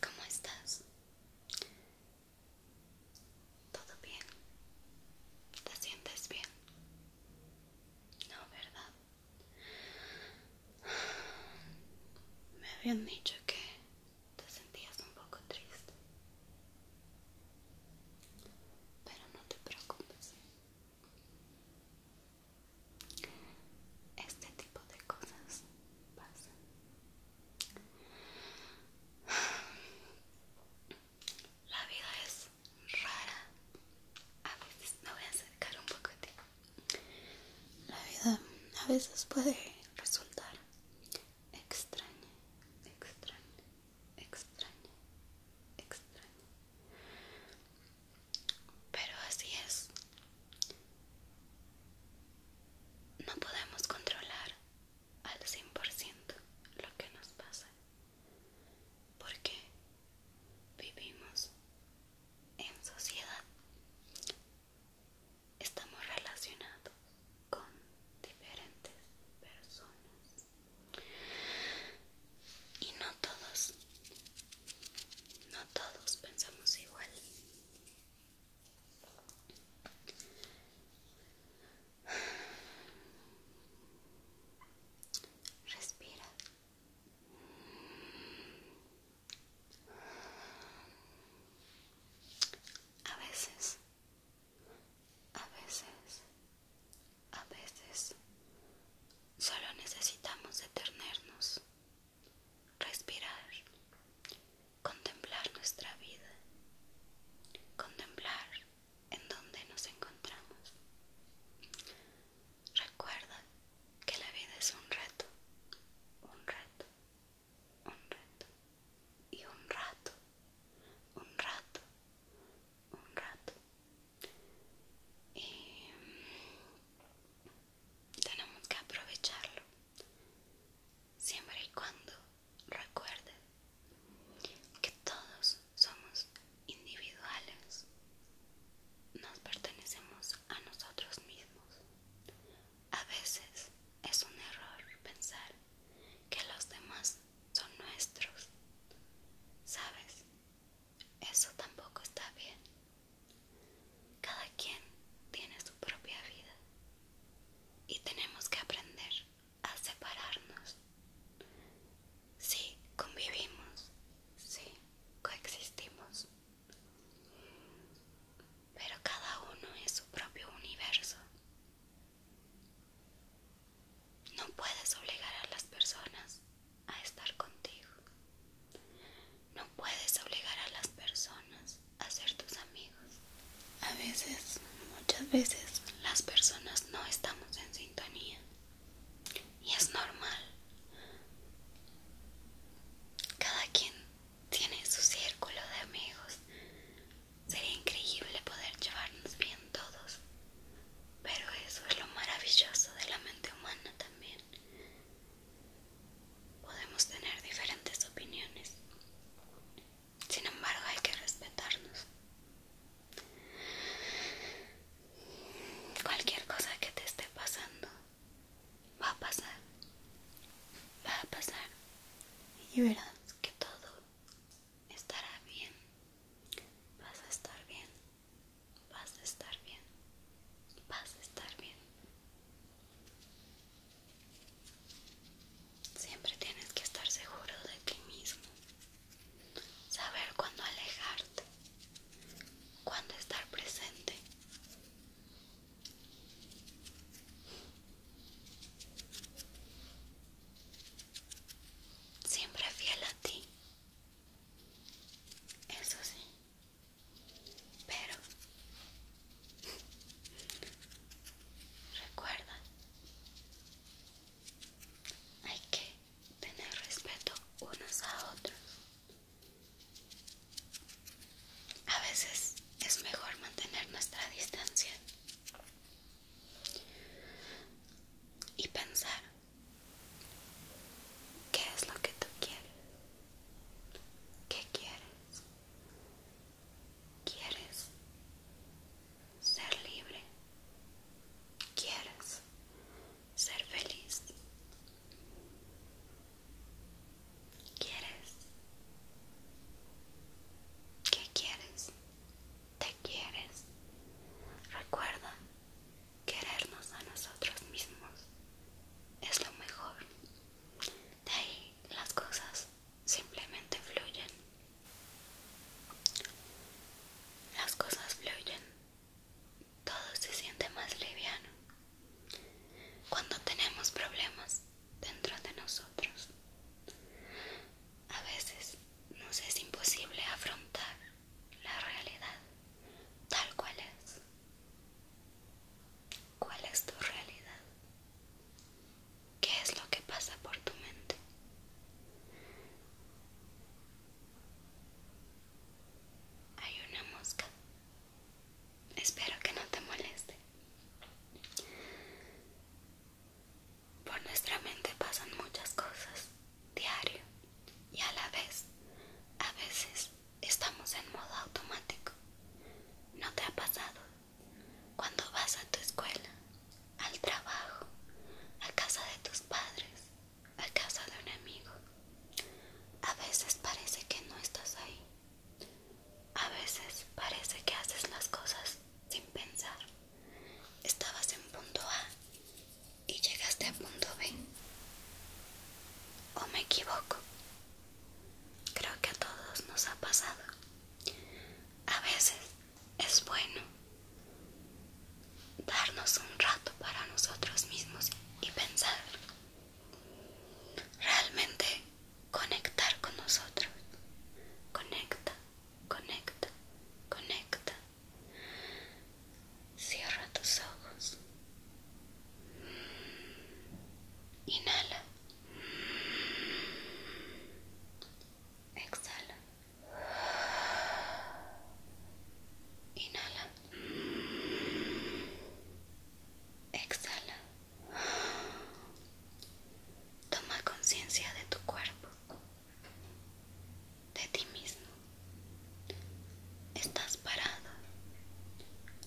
¿Cómo estás? ¿Todo bien? ¿Te sientes bien? No, ¿verdad? Me habían dicho que te sentías un poco triste. Pero no te preocupes. Este tipo de cosas pasan. La vida es rara. A veces me voy a acercar un poco a ti. La vida a veces puede resultar extraña, extraña, extraña, extraña. Pero así es. No podemos controlar al 100% lo que nos pasa. Porque vivimos en sociedad. Estamos relacionados con diferentes personas. Y no todos no todos pensamos igual. Respira. A veces, a veces, a veces, solo necesitamos detenernos respirar, contemplar nuestra vida, contemplar en dónde nos encontramos. Recuerda que la vida es un reto, un reto, un reto y un rato, un rato, un rato. Y tenemos que aprovecharlo siempre y cuando recuerdes que todos somos individuales nos pertenecemos a nosotros mismos a veces es un error pensar que los demás son nuestros sabes eso tampoco está bien cada quien tiene su propia vida y tenemos que aprender a separarnos. Sí, convivimos, sí, coexistimos, pero cada uno es su propio universo. No puedes obligar a las personas a estar contigo. No puedes obligar a las personas a ser tus amigos. A veces, muchas veces, las personas no estamos en sintonía. Y es normal. Cada quien tiene su círculo de amigos. Sería increíble poder llevarnos bien todos. Pero eso es lo maravilloso de la mente humana también. Podemos tener diferentes opiniones, sin embargo hay que respetarnos. Cualquier cosa que te esté pasando va a pasar, va a pasar y verás que todo estará bien, vas a estar bien. Vas a estar bien. Vas a estar bien. Siempre tienes que estar seguro de ti mismo. Saber cuándo alejarte. Cuándo estar presente. Siempre fiel a ti. Eso sí. Pero recuerda, hay que tener respeto unos a otros. A veces es mejor mantener nuestra distancia y pensar ¿Qué es lo que tú quieres? ¿Qué quieres? ¿Quieres ser libre? ¿Quieres ser feliz? ¿Quieres? ¿Qué quieres? ¿Te quieres? Recuerda querernos a nosotros mismos es lo mejor. De ahí las cosas simplemente fluyen. Las cosas fluyen. Todo se siente más liviano. Cuando tenemos problemas dentro de nosotros, a veces nos es imposible afrontar la realidad tal cual es. ¿Cuál es tu realidad? ¿Qué es lo que pasa por tu mente? Hay una mosca. Espero que no te moleste. Por nuestra mente pasan muchas cosas diario y a la vez a veces estamos en modo automático. ¿No te ha pasado? Cuando vas a tu escuela, al trabajo, a casa de tus padres, a casa de un amigo, a veces parece que no estás ahí. A veces parece que haces las cosas sin pensar. Estabas en punto A y llegaste a punto B. ¿O me equivoco? Creo que a todos nos ha pasado. A veces es bueno darnos un rato para nosotros mismos y pensar. Realmente conectar con nosotros. Conecta, conecta, conecta, Cierra tus ojos. Inhala. Exhala. Inhala. Exhala. Toma conciencia de tu cuerpo de ti mismo. Estás parado,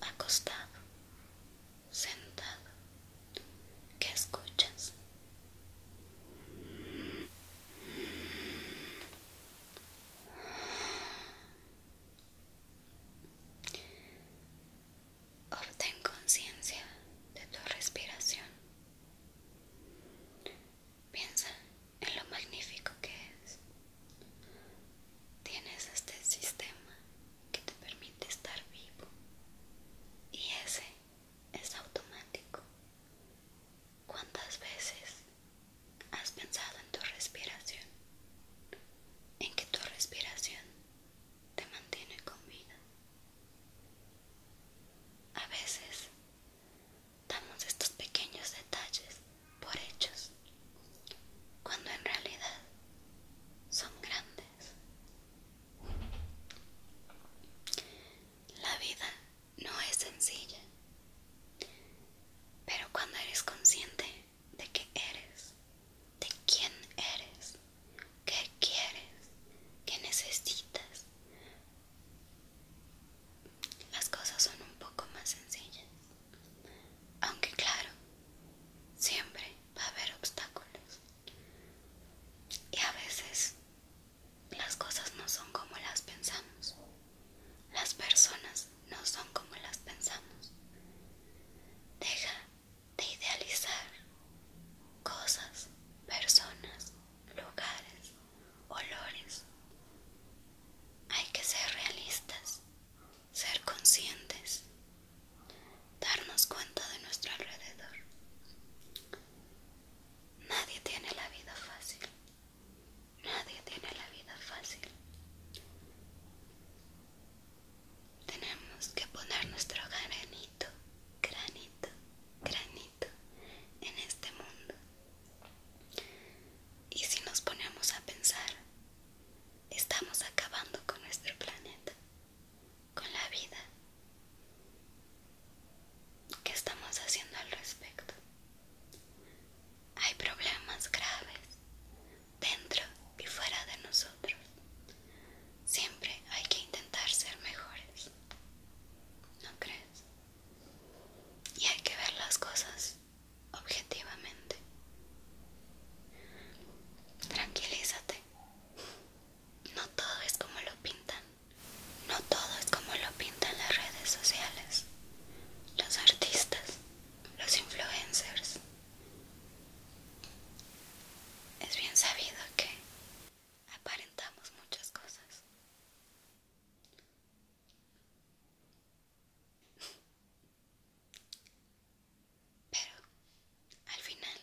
acostado, sentado. ¿Qué escuchas? Obtén conciencia de tu respiración. Piensa en lo magnífico que es. Tienes este sistema que te permite estar vivo y ese es automático. ¿Cuántas veces has pensado en tu respiración? En que tu respiración te mantiene con vida. A veces Damos estos pequeños detalles por hechos, cuando en realidad son grandes. La vida no es sencilla, pero cuando eres consciente de que eres, de quién eres, qué quieres, qué necesitas, las cosas son un poco más sencillas, aunque claro, siempre va a haber obstáculos. Y a veces las cosas no son como las pensamos, las personas no son como las pensamos. Deja de idealizar cosas, personas, lugares olores. Hay que ser realistas, ser conscientes, darnos cuenta de nuestro alrededor. Nadie tiene la vida fácil. Nadie tiene la vida fácil. Tenemos que poner nuestro granito, granito, granito en este mundo. Y si nos ponemos a pensar, estamos acabando con nuestro planeta, con la vida. ¿Qué estamos haciendo al respecto? Hay problemas graves dentro y fuera de nosotros. Siempre hay que intentar ser mejores. ¿No crees? y hay que ver las cosas objetivamente. Tranquilízate. No todo es como lo pintan. No todo es como lo pintan las redes sociales, los artistas, los influencers. Es bien sabido que aparentamos muchas cosas, pero al final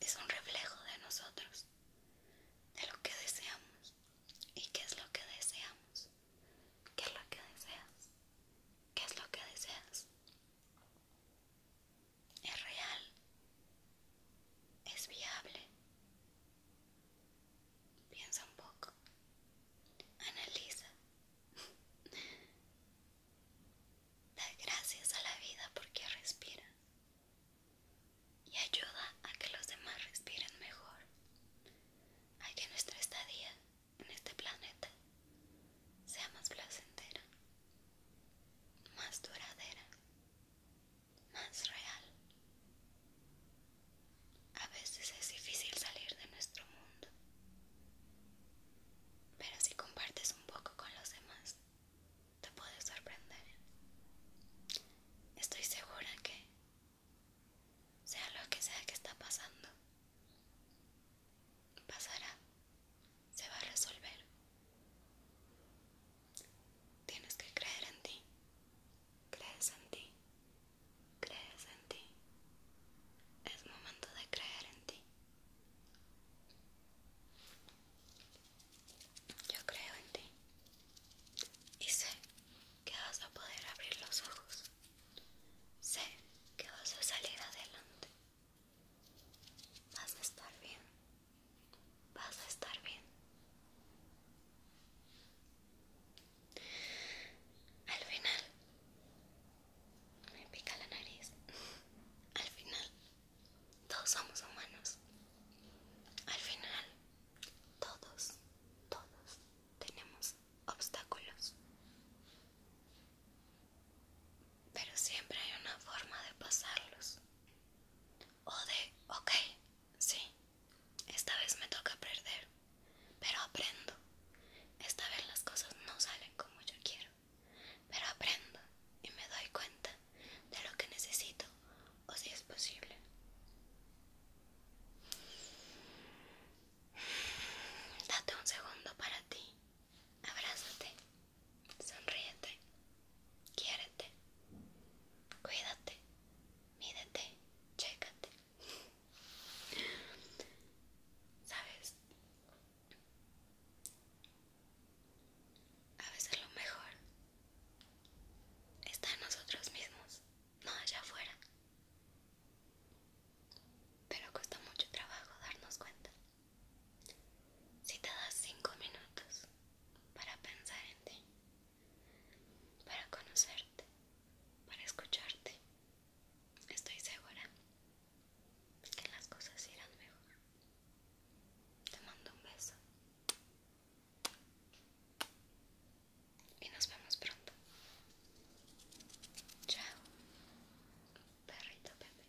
es un reflejo de nosotros, de lo que deseamos. ¿Y qué es lo que deseamos? ¿Qué es lo que deseas? ¿Qué es lo que deseas? ¿Es real? ¿Es viable? Piensa un poco. Analiza. Da gracias a la vida porque respira. Y ayuda a que los demás respiren mejor. A que nuestra estadía en este planeta sea más placentera, más duradera más real. A veces es difícil salir de nuestro mundo, pero si compartes un poco con los demás, te puedes sorprender. Estoy segura que, sea lo que sea que está pasando, pasará, se va a resolver. Tienes que creer en ti. Crees en ti. Crees en ti. Es momento de creer en ti. Yo creo en ti. Y sé que vas a poder abrir los ojos. Sé que vas a salir adelante. Vas a estar bien. Vas a estar bien. Al final, me pica la nariz. Al final, todos somos humanos. Al final, todos, todos tenemos obstáculos. Pero siempre hay una forma de pasarlos. O de, ok, sí, esta vez me toca perder, pero aprendo. Esta vez las cosas no salen como yo quiero, pero aprendo y me doy cuenta de lo que necesito o si es posible. Date un segundo para ti, abrázate Sonríete, quiérete, cuídate, mídete, chécate. ¿Sabes? A veces lo mejor está en nosotros mismos, no allá afuera. Pero cuesta mucho trabajo darnos cuenta. Si te das cinco minutos para pensar en ti, para conocerte, para escucharte, estoy segura que las cosas irán mejor. Te mando un beso y nos vemos pronto. Chao, perrito Pepe.